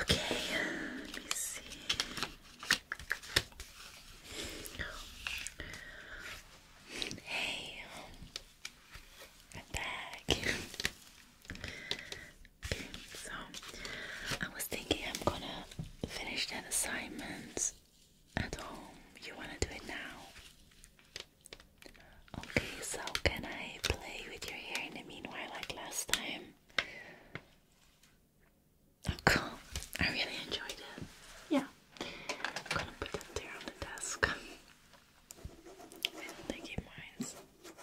Okay, let me see. Hey, I'm back. so I was thinking I'm gonna finish that assignment at home. You wanna do it now? Okay, so can I play with your hair in the meanwhile like last time? Oh, cool. I really enjoyed it. Yeah. I'm gonna put that there on the desk. I don't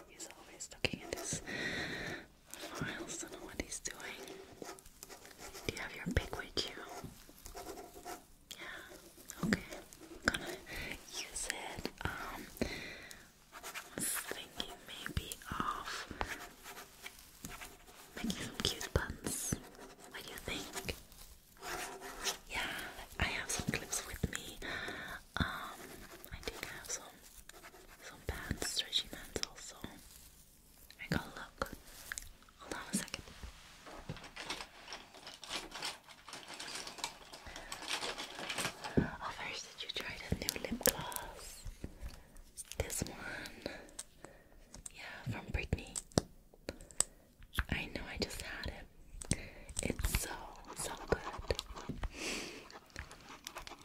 He's always looking at his files, don't know what he's doing. Do you have your pick with you? Yeah, okay. I'm gonna use it. Um, thinking maybe of making some cute buns. What do you think? Yeah, I have some clips with me. Um, I think have some some bands, stretchy bands also. I got look. Hold on a second. Oh, first, did you try the new lip gloss? This one. Yeah, from Britney. I know, I just had it. It's so, so good.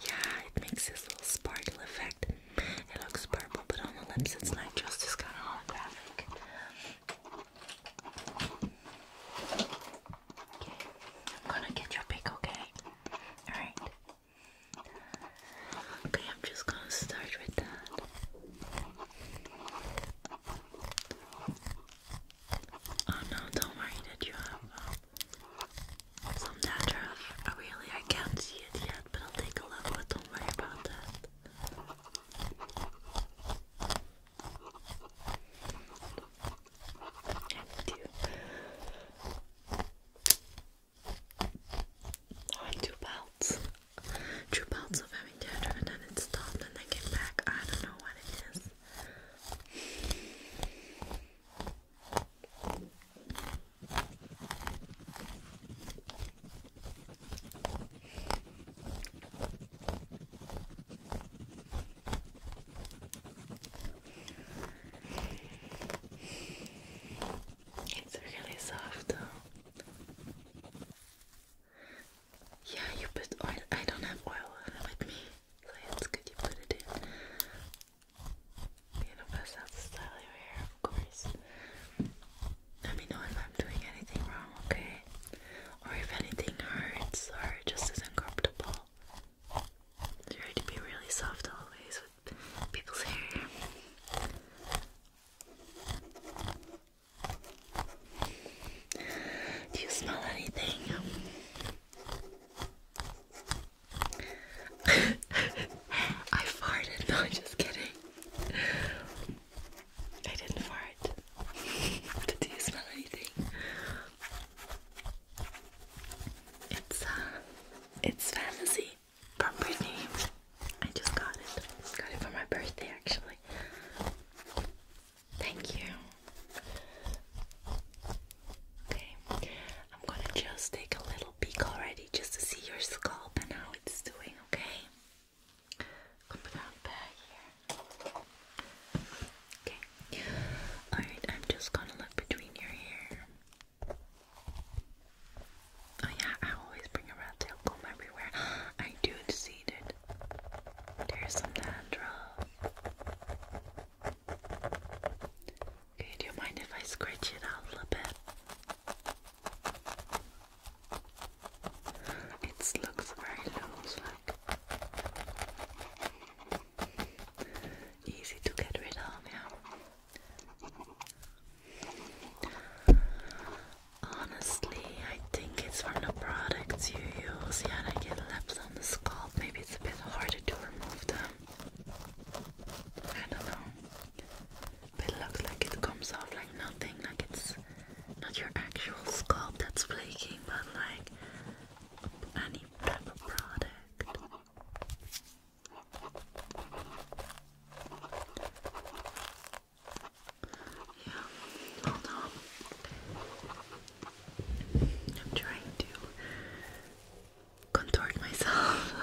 Yeah, it makes this little sparkle effect. It looks purple, but on the lips it's not just this kind of holographic. I'm gonna get your pick, okay? Alright. Okay, I'm just gonna start with that. Oh no, don't worry that you have um, some natural. Really, I can't see it yet, but I'll take a look, but don't worry about that. I went belts. Two belts of having theater and then it and then came back. I don't know what it is. It's really soft. Yeah, you put oil. I don't have oil with me, so it's good you put it in. You know, pass style of hair, of course. Let me know if I'm doing anything wrong, okay? Or if anything hurts or just isn't comfortable. Try to be really soft always with people's hair. Do you smell anything? I farted, no, I'm just kidding. I didn't fart. Did you smell anything? It's uh, it's fantasy from Brittany. I just got it. Got it for my birthday, actually. Thank you. Okay, I'm gonna just take a little peek already just to see your scalp and how it's doing, okay? i Okay. Alright, I'm just gonna look between your hair. Oh yeah, I always bring a rat tail comb everywhere. I do see it. There's some dandruff. Okay, do you mind if I scratch it out a little bit? It looks very loose, like easy to get rid of, yeah. Honestly, I think it's from the products you use. Yeah, I get laps on the scalp. Maybe it's a bit harder to remove them. I don't know. But looks like it comes off like nothing, like it's not your actual scalp that's flaking, but like any product. Yeah, I'm trying to contort myself.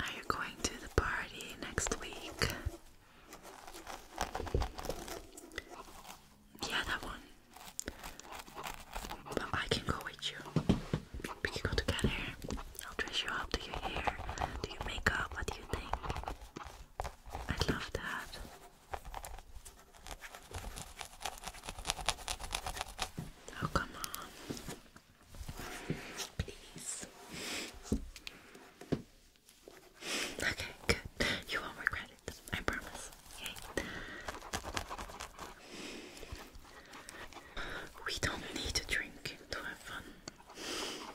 Are you going to the party next week? Yeah, that one. But I can go with you. We can go together. I'll dress you up. Do your hair? Do your makeup? What do you think? i love that. Oh, come on. Please. Okay, good. You won't regret it. I promise. Okay. We don't need a drink to have fun.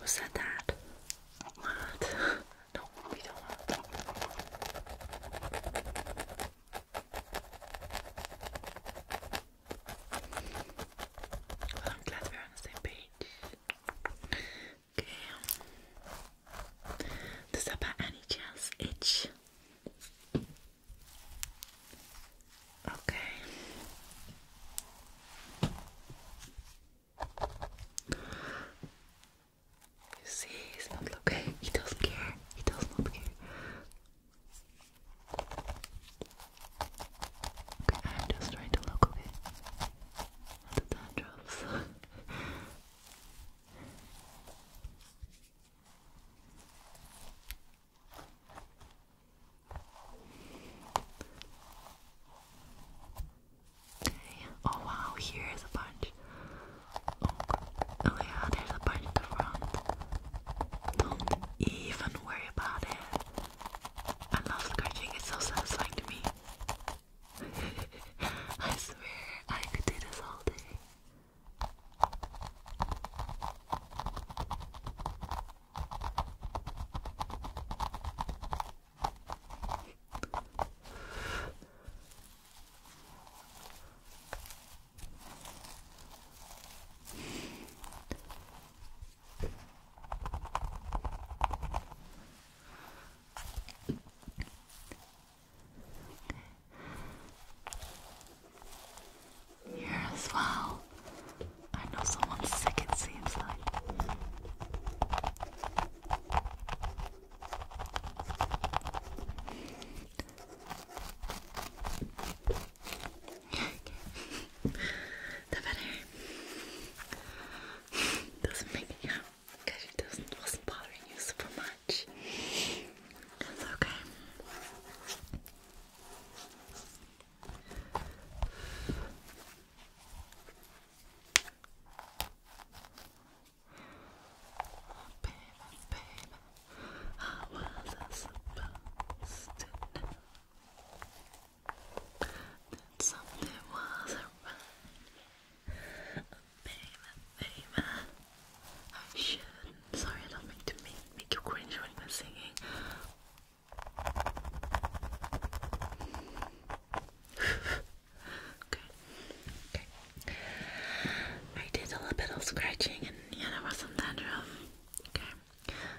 Who said that? What? No, we don't I'm glad we're on the same page. Okay. Does that by any chance itch? Okay. You see, he's not okay. He doesn't care. He does not care. Okay, I'm just trying to look okay the dandruffs. okay. Oh wow, here is a bunch. Oh, yeah, there's a bunch in the front. Don't even worry about it. I love scratching, it's so satisfying to me. I swear I could do this all day. Here as well. I know someone's sick, it seems like. That's better? doesn't make it out because it doesn't wasn't bothering you super much. It's okay. Oh, baby, baby, how was I supposed to know? something was around. Baby, baby. I should Sorry, I don't to make, make you cringe when you're singing. okay. Okay. I did a little bit of scratching and yeah, there was some dandruff. Okay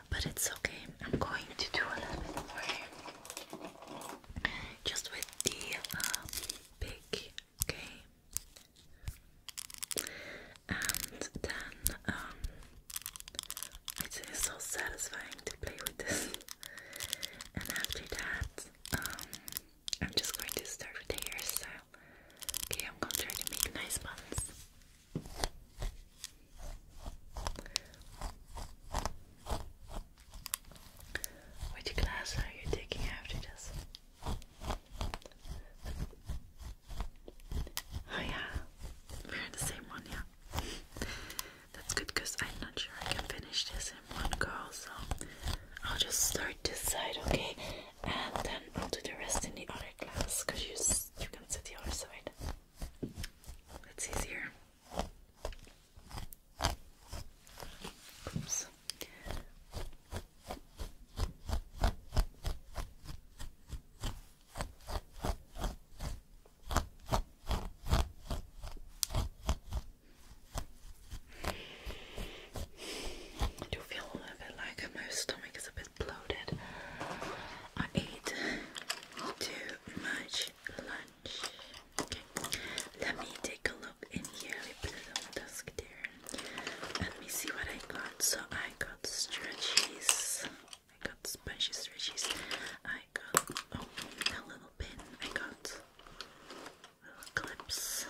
but it's okay. I'm going to do a little bit more just with the uh, okay? And then um, it is so satisfying to play with this. And after that, um, I'm just going to start with the hairstyle. Okay, I'm going to try to make nice buns. Which class are you taking after this? Oh yeah, we're in the same one, yeah. That's good because I'm not sure I can finish this in one go, so I'll just start this side, okay? And then I'll do the rest in the other class because you, you can sit the other side. That's easier. Oops. I do feel a bit like my stomach is a bloated. I ate too much lunch. let me take a look in here. We put it on the desk there. Let me see what I got. So I got stretchies. I got spongy stretchies. I got oh a little pin. I got little clips.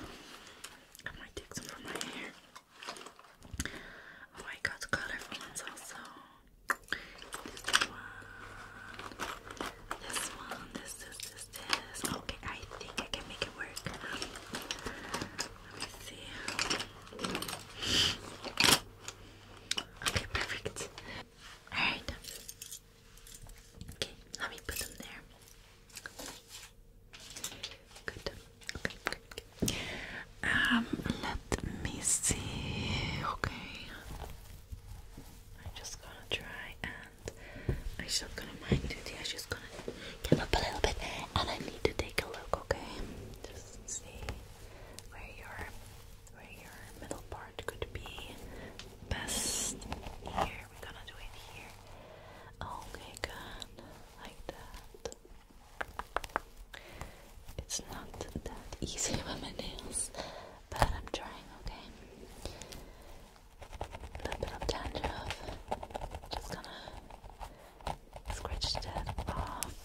I might take some for my hair. Oh, I got colorful ones also. This one, this one, this, this, this, this. Okay, I think I can make it work. Let me see. Okay, perfect. Alright. Okay, let me put them there. Good. Um, let me see. Okay, I'm just gonna try and I'm just gonna mind I'm just gonna get up a little bit, and I need to take a look. Okay, just see where your where your middle part could be best. Here, we're gonna do it here. Okay, good, like that. It's not that easy with my nails, but I'm trying, okay? A little bit of dandruff. Just gonna scratch that off.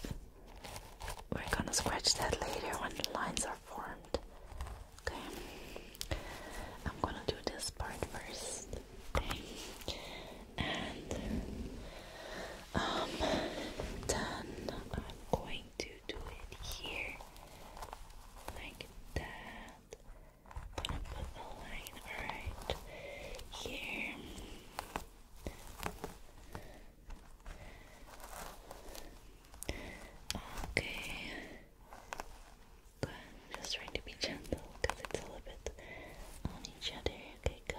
We're gonna scratch that later when the lines are formed. Okay? I'm gonna do this part first and um, then I'm going to do it here like that. gonna put a line right here. Okay. Good. I'm just trying to be gentle because it's a little bit on each other. Okay, good.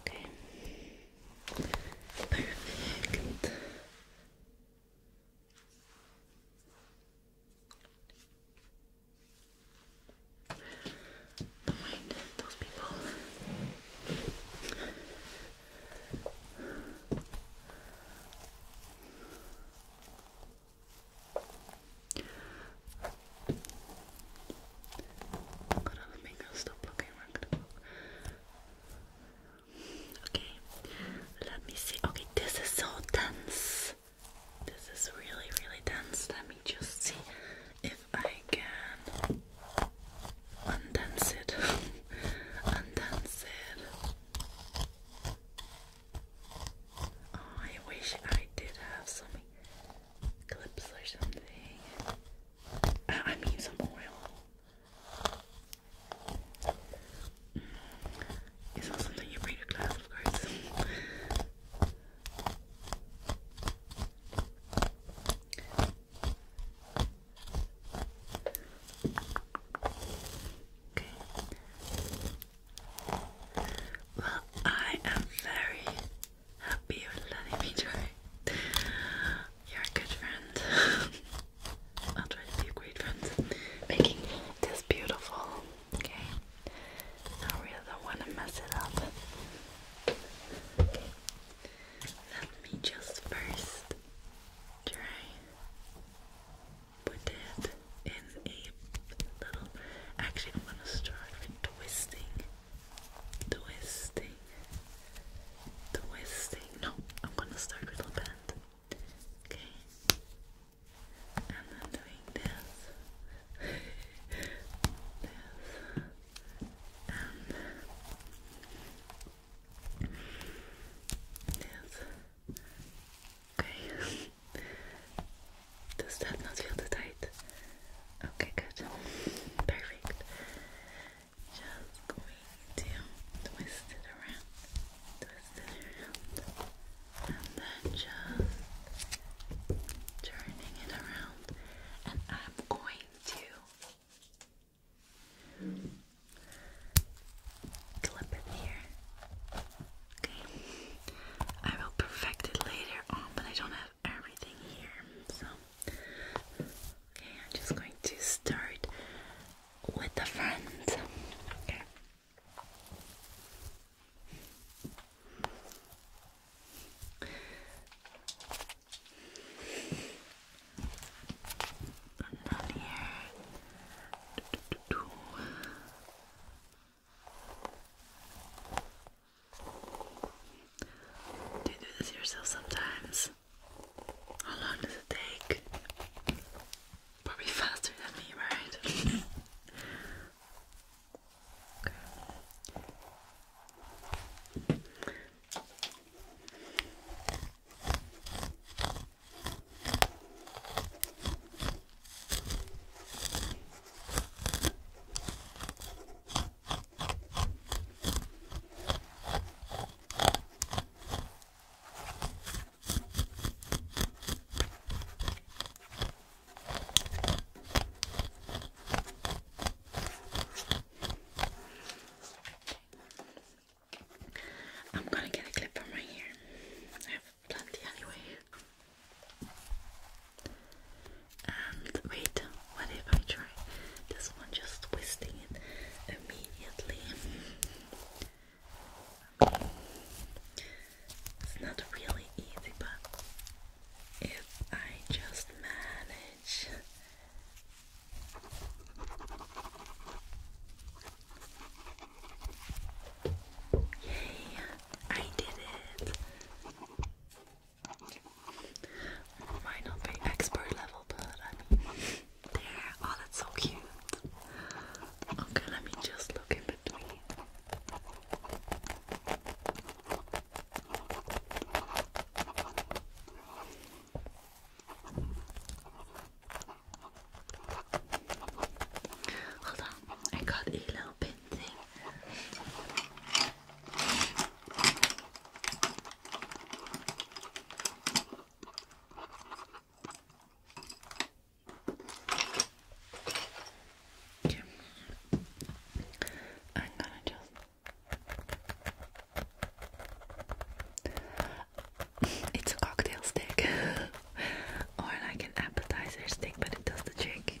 Okay. Perfect. Don't mind those people let me Okay, let me see. Okay, this is so dense. This is really, really dense. Let me just see if I can undense it. undense it. Oh, I wish I did have some clips or something. I, mean, some oil. Mm. It's not something you bring to class, of Okay. Well, I am very happy for letting me try. You're a good friend. I'll try to be a great friend. Making this beautiful. Okay. I really don't want to mess it up. Let me just first try put it in a little. Actually, I'm gonna start twisting the twisting, twisting. No, I'm gonna start with a band. okay? And then doing this, this, and this. Okay. Does that not feel too tight? Okay, good. Perfect. Just going to twist it around, twist it around, and then just turning it around. And I'm going to clip it here. Okay. I will perfect it later on, but I don't have everything here. So, okay, I'm just going to start with the friends. Okay. And here. Do you do this yourself sometimes? How long does it take? Probably faster than me, right? I'm gonna get a clip from right here. I have plenty anyway. And wait, what if I try this one just twisting it immediately? not really easy, but if I just manage. Yay, I did it. Might not be expert level, but um, Oh, that's so cute. Okay, let me just look in between. Hold on, I got a little pin thing I'm gonna just it's a cocktail stick or like an appetizer stick, but it does the trick.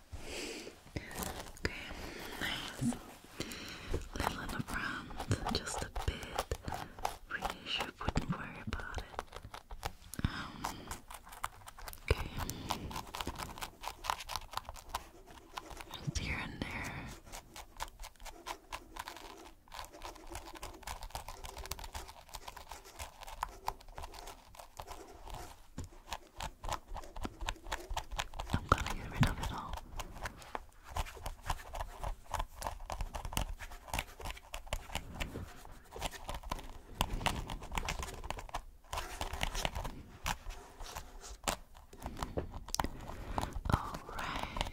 Okay, nice. Little in just a bit. Really, sure wouldn't worry about it. Um, okay. Just here and there. I'm gonna get rid of it all. Alright,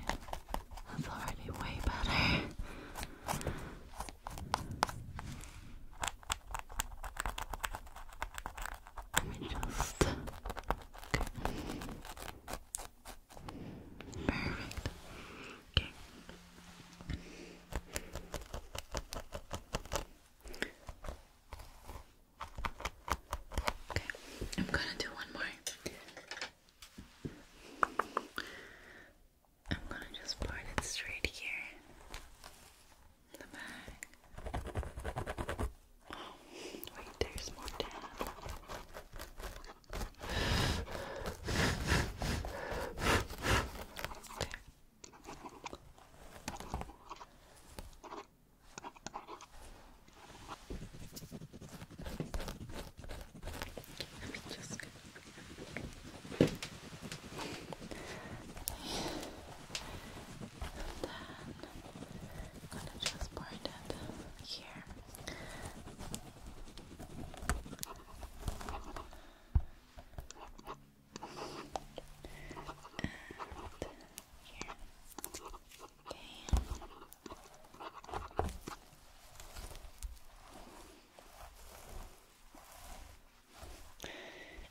that's already way better just. Perfect. Okay, I'm gonna do one more. I'm gonna just part it straight here the back. Oh, wait, there's more down. Okay. Let me just. And then I'm just part it here. And here. Okay.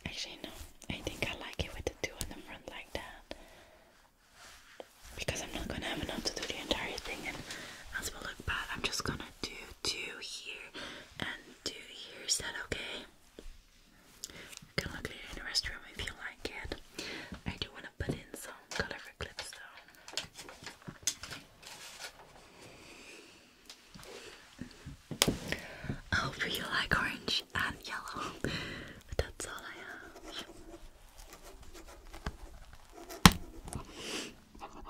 Actually, no, I think I like it with the two on the front like that because I'm not gonna have enough to do the entire thing and as will look bad. I'm just gonna do two here and two here. Is that okay? You can look the restroom if you like it. I do want to put in some colorful clips though. I oh, hope you like orange and yellow, but that's all I have. Okay.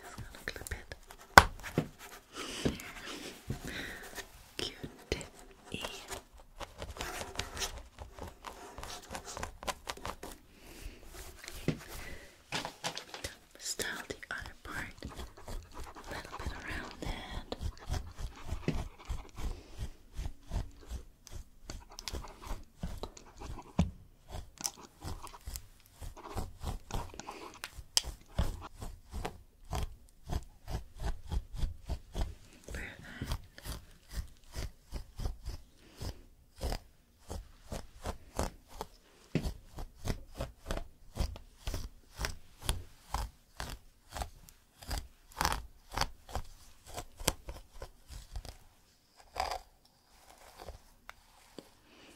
Just gonna clip it. Cute. Style the other part a little bit around Perfect.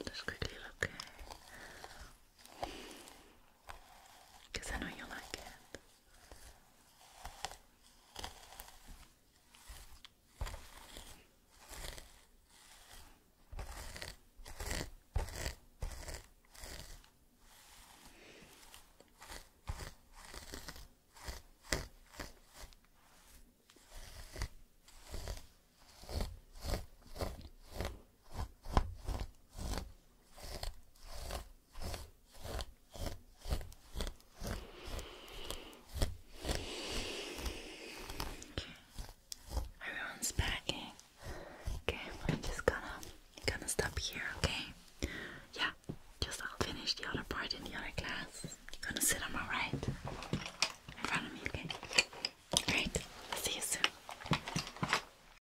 Just quickly look. Because I know you like it. Everyone's packing. Okay, I'm just gonna gonna stop here, okay? Yeah, just I'll finish the other part in the other class. You're gonna sit on my right in front of me, okay? Great. see you soon.